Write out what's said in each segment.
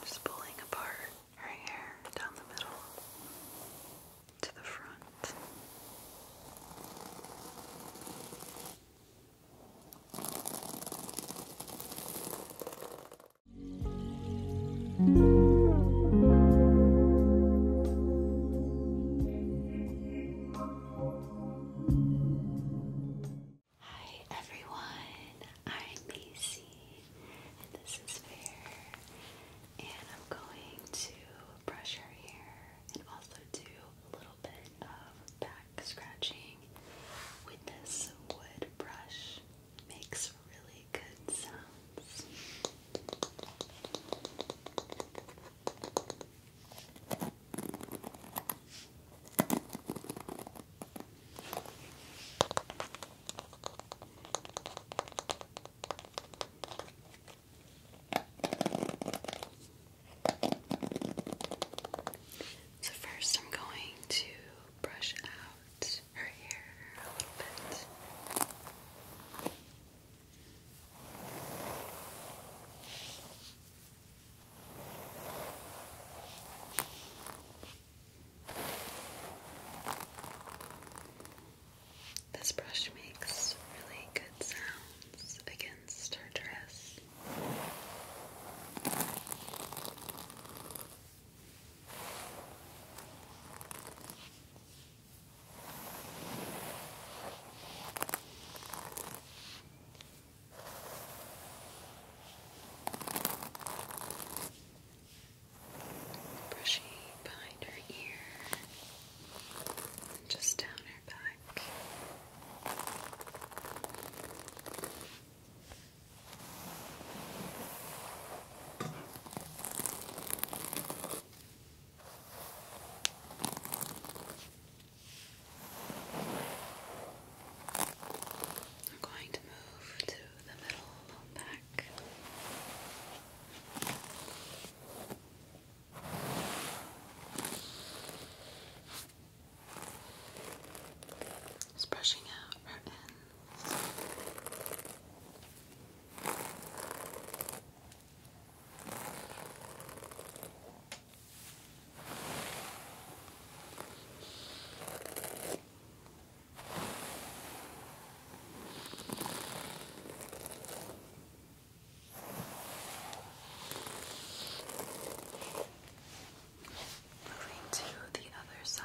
Just pulling apart her hair down the middle to the front. Hi everyone, I'm Macy and this is Fair and I'm going to brush her hair and also do a little bit of back scratching with this wood brush. Makes really good sounds. So, first, I'm going to brush out her hair a little bit. This brush makes really good sounds against her dress. Brushing behind her ear and just down her back. I'm going to move to the middle back. Just brushing out her ends. Moving to the other side.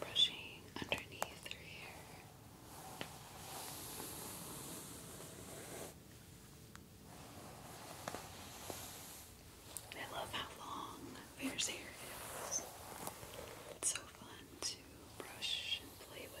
brushing underneath her hair. I love how long Fair's hair is. It's so fun to brush and play with.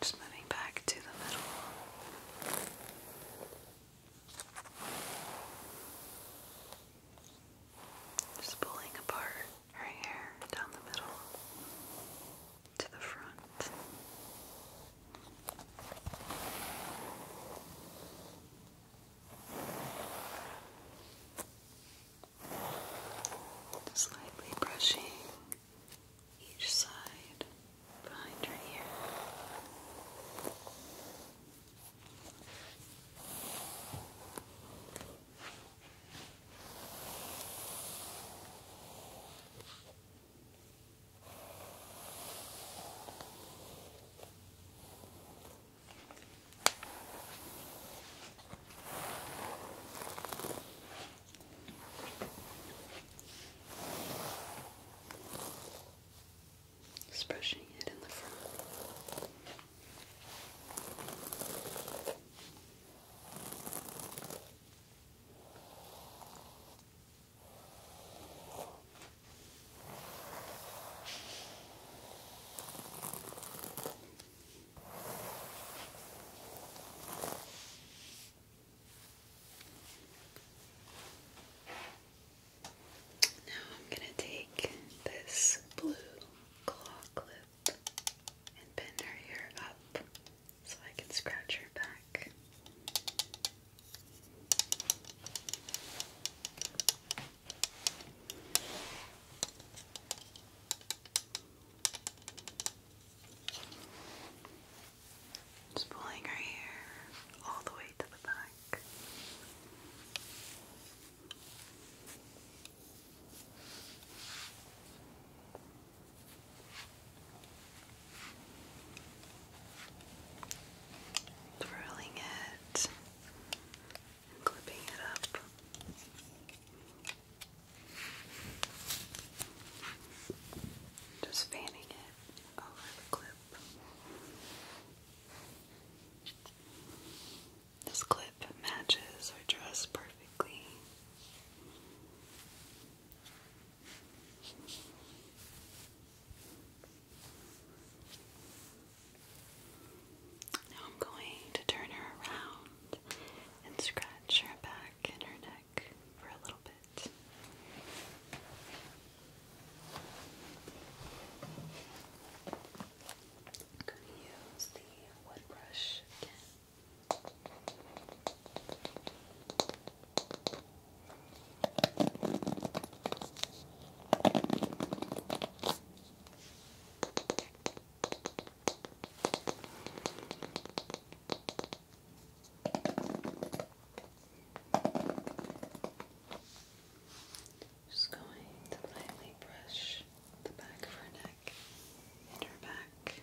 Just moving back to the middle. Just pulling apart her hair down the middle to the front. Just brushing each side behind your ear. Good. Just brushing it in the front. Now I'm going to take this blue claw clip and pin her hair up so I can scratch her back. Just pulling her hair all the way to the back. Twirling it clipping it up. Just fanning it over the clip. This clip matches our dress perfectly. Now I'm going to turn her around and scratch scratch her back and her neck for a little bit. going to use the wood brush again. Just going to lightly brush the back of her neck and her back.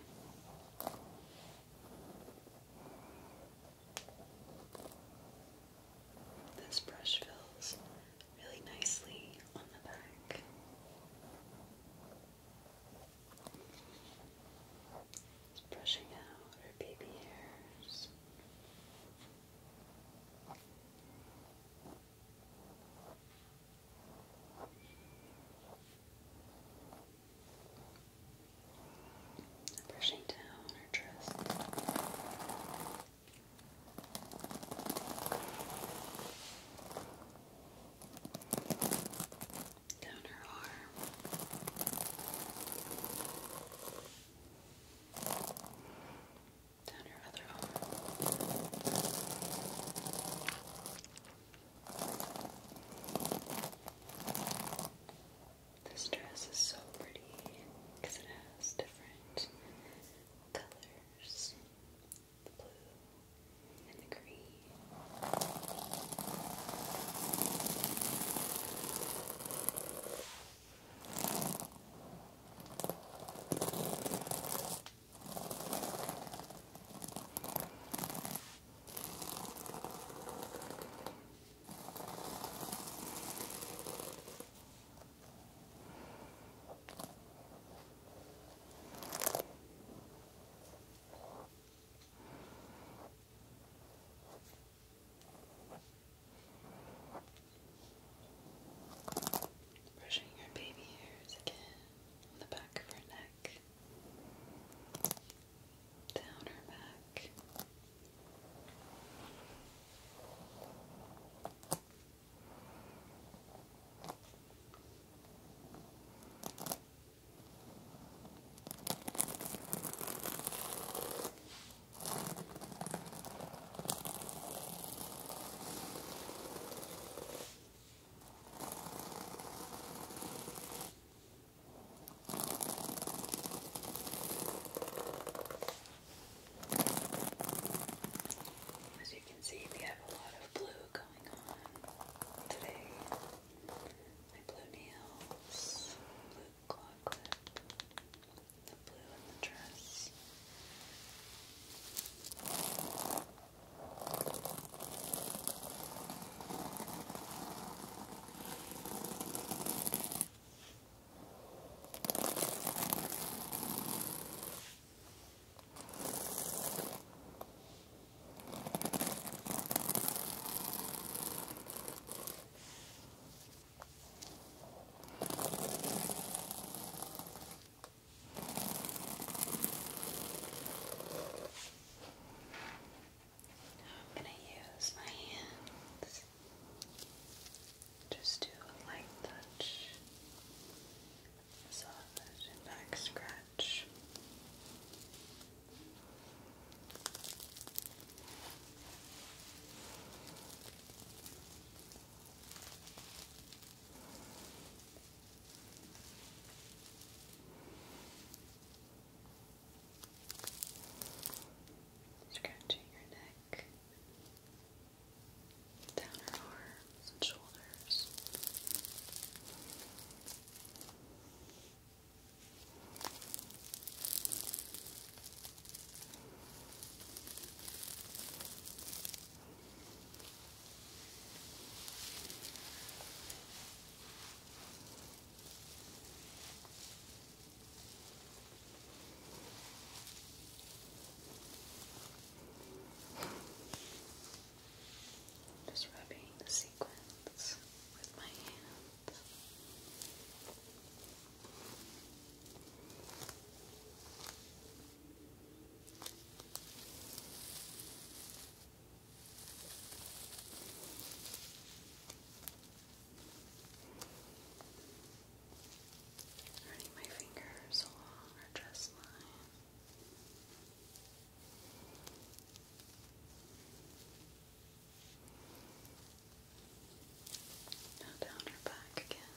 This brush feels really nicely on the back brushing out her baby hairs. Brushing down her dress down her arm. Down her other arm. This dress is so pretty because it has different colors the blue, and the green. All Brushing her baby hairs again on the back of her neck, down her back. As you can see, we have a lot of blue going on today. My blue nails, blue claw clip, the blue in the dress. I I'm going to use my hands just do a light touch massage and back scratch. Scratching your neck, down her arms and shoulders. Now just rubbing the sequins with my hand. Just Running my fingers along her dress line. down her back again.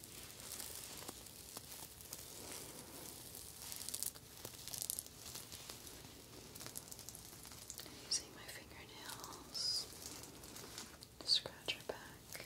Using my fingernails to scratch her back.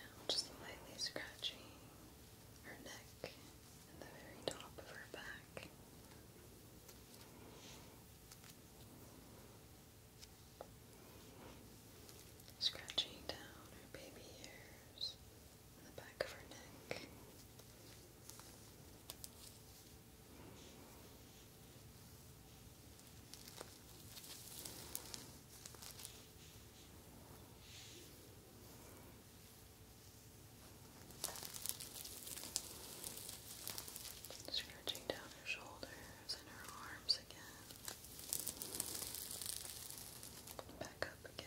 Now just lightly scratching her neck and the very top of her back. Scratching down her baby ears, on the back of her neck. Scratching down her shoulders and her arms again. Back up again.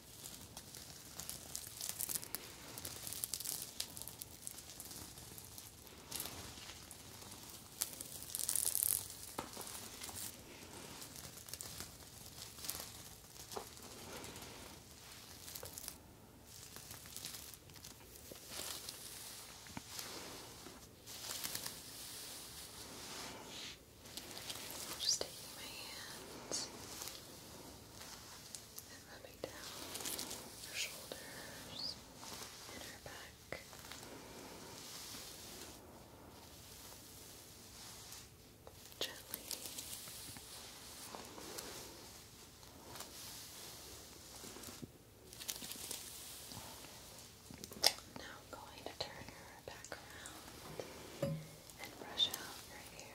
Just taking my hands. And rubbing down her shoulders and back. Gently. Now I'm going to turn her back around and brush out your hair.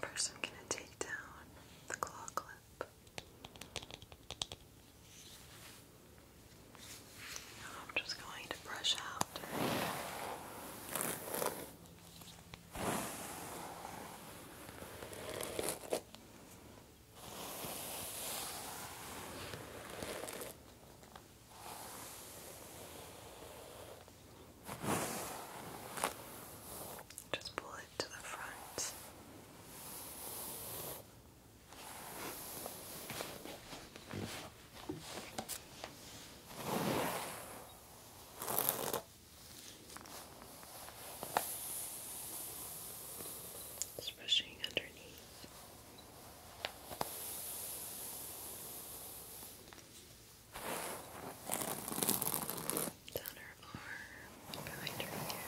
First, I'm going to take down the claw clip. I'm just going to brush out. Just pull it to the front. Just brushing underneath. Down her arm, behind her ear.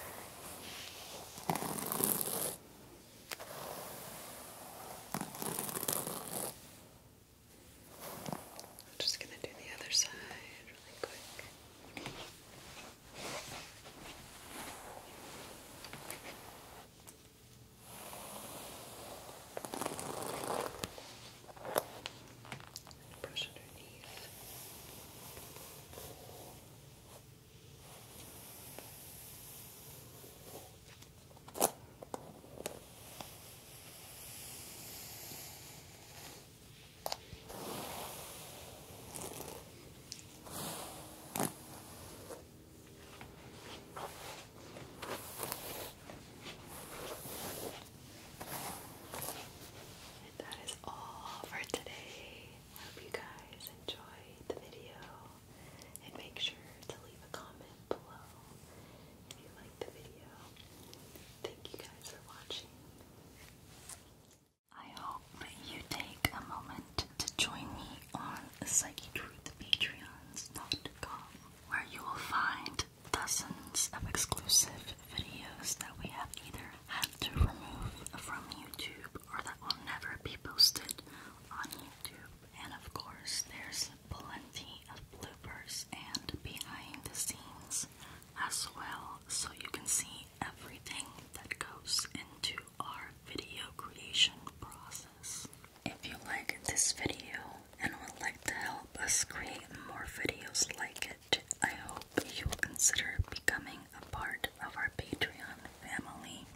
I'm just going to do the other side really quick. Brush underneath. And that is all for today. I hope you guys enjoyed the video and make sure to leave a comment below if you liked the video. Thank you guys for watching. I hope you take a moment to join me on psychictruthpatreons.com where you will find dozens of exclusive videos that we have either had to remove from YouTube or that will never be posted on YouTube. And of course, there's plenty of bloopers and behind the scenes as well, so you can see everything that goes into our video creation process. If you like this video and would like to help us create more videos like it, I hope you will consider becoming a part of our Patreon family.